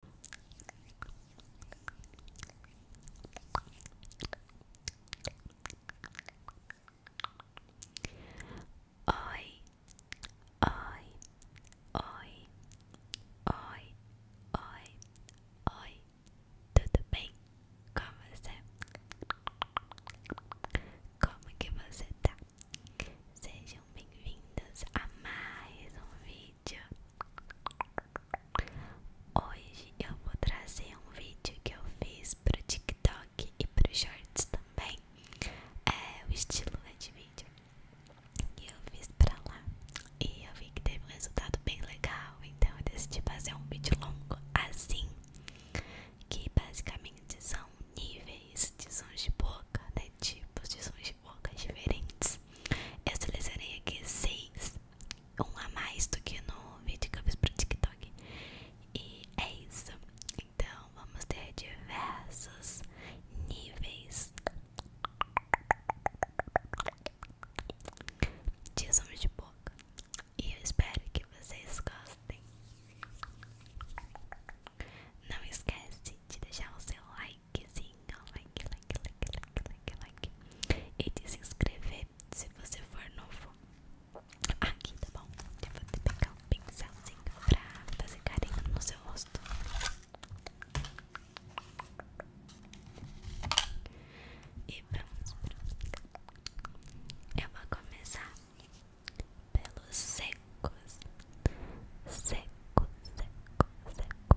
Oi, oi, oi, oi, oi, oi, tudo bem? Como você? Como que você tá? Sejam bem-vindos a mais um vídeo Hoje eu vou trazer um vídeo que eu fiz pro TikTok e pro Shorts também. É o estilo né, de vídeo que eu fiz pra lá. E eu vi que teve um resultado bem legal, então eu decidi fazer um vídeo longo assim. Que basicamente são níveis de sons de boca, né? Tipos de sons bocas diferentes. Eu selecionei aqui seis, um a mais do que no vídeo que eu fiz para o TikTok. E é isso. Então vamos ter diversos níveis de som de boca. E eu espero que vocês gostem. Não esquece de deixar o seu like likezinho, like, like, like, like, like, like, e de se você for novo aqui, tá bom? Eu vou te pegar um pincelzinho pra fazer carinho no seu rosto. E vamos pro... Eu vou começar pelos secos. Seco, seco, seco.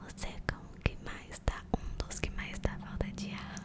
Você é como que mais tá um dos que mais tá falta de ar.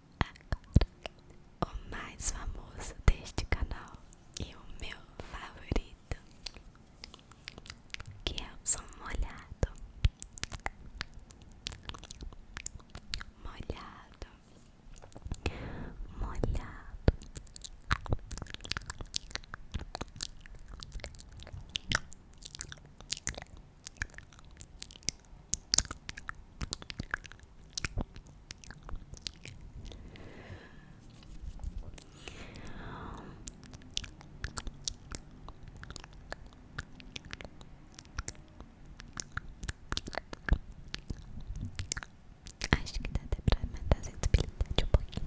agora o mais famoso deste canal e o meu favorito, que é o som molhado, molhado, molhado. molhado, molhado, molhado Acho que dá até pra aumentar a sensibilidade um pouquinho.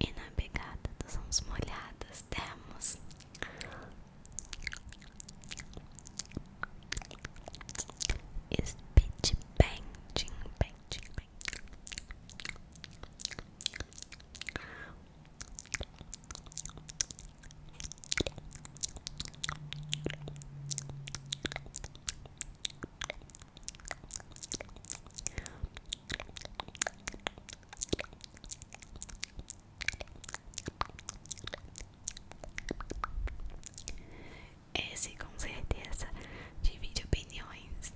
E na pegada dos mãos molhadas temos Speed Painting, Painting, Painting esse com certeza divide opiniões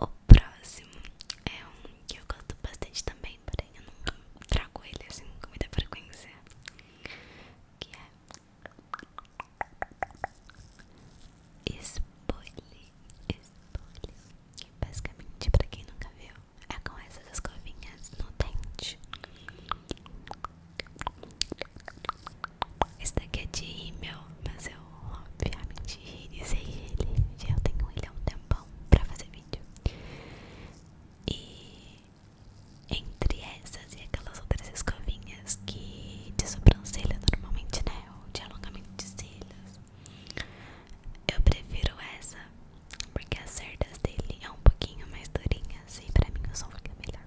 O próximo é um que eu gosto bastante também porém eu nunca trago ele assim nunca com muita frequência. Que é spoiler spoiler Que basicamente, pra quem nunca viu, é com essas escovinhas no dente. Esse daqui é de rímel, mas eu obviamente irisei ele. Já eu tenho ele há um tempão pra fazer vídeo. E entre essas e aquelas outras escovinhas que de sobrancelha normalmente, né? Ou de alongamento de cílios. Eu prefiro essa, porque as cerdas dele é um pouquinho mais durinhas e pra mim o som fica melhor.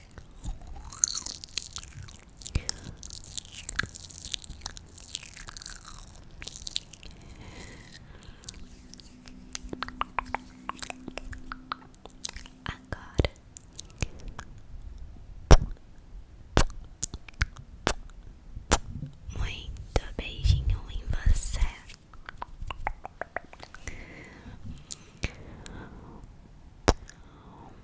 Agora muito beijinho em você.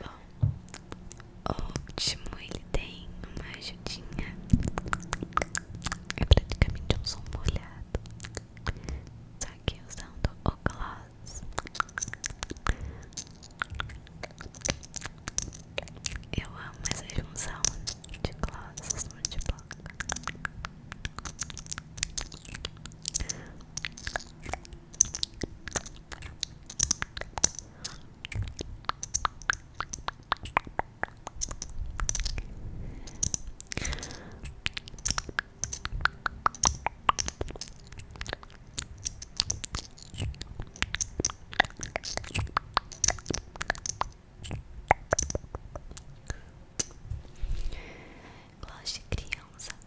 Bom, ótimo, ele tem uma ajudinha. É praticamente um som molhado. Só que usando o gloss. Eu amo essa junção de glosses de boca. Gosto de criança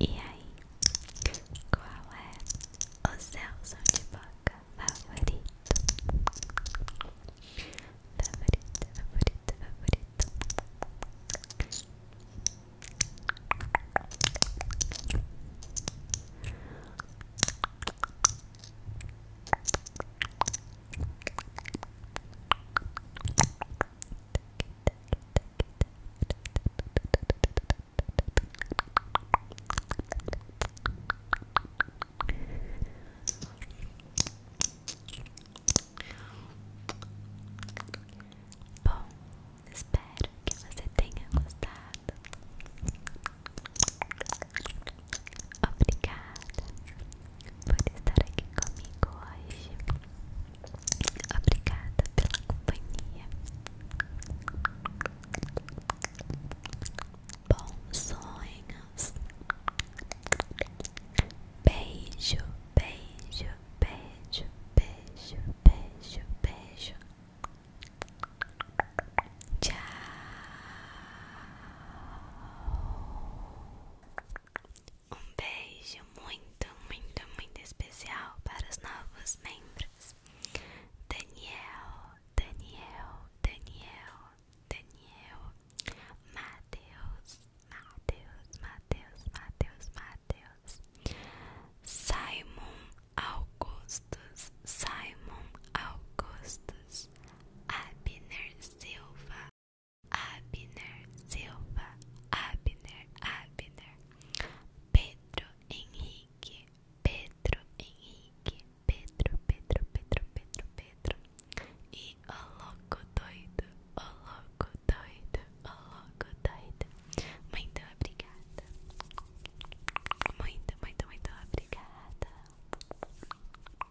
E aí, qual é o seu som de boca favorito? Favorito, favorito, favorito. Bom, espero que você tenha gostado. Obrigada por estar aqui comigo hoje. Obrigada pela companhia. Bons sonhos. Beijo, beijo, beijo, beijo, beijo, beijo. Tchau. Um beijo muito, muito, muito especial para os novos membros: Daniel, Daniel, Daniel, Daniel, Matheus, Matheus, Matheus, Matheus, Matheus, Simon Augustus, Simon Augustus, Abner Silva, Abner Silva, Abner, Abner, Pedro Henrique, Pedro Henrique, Pedro, Pedro, Pedro, Pedro, Pedro, e o louco doido, o louco doido, o louco doido. Muito obrigada, muito, muito, muito obrigada.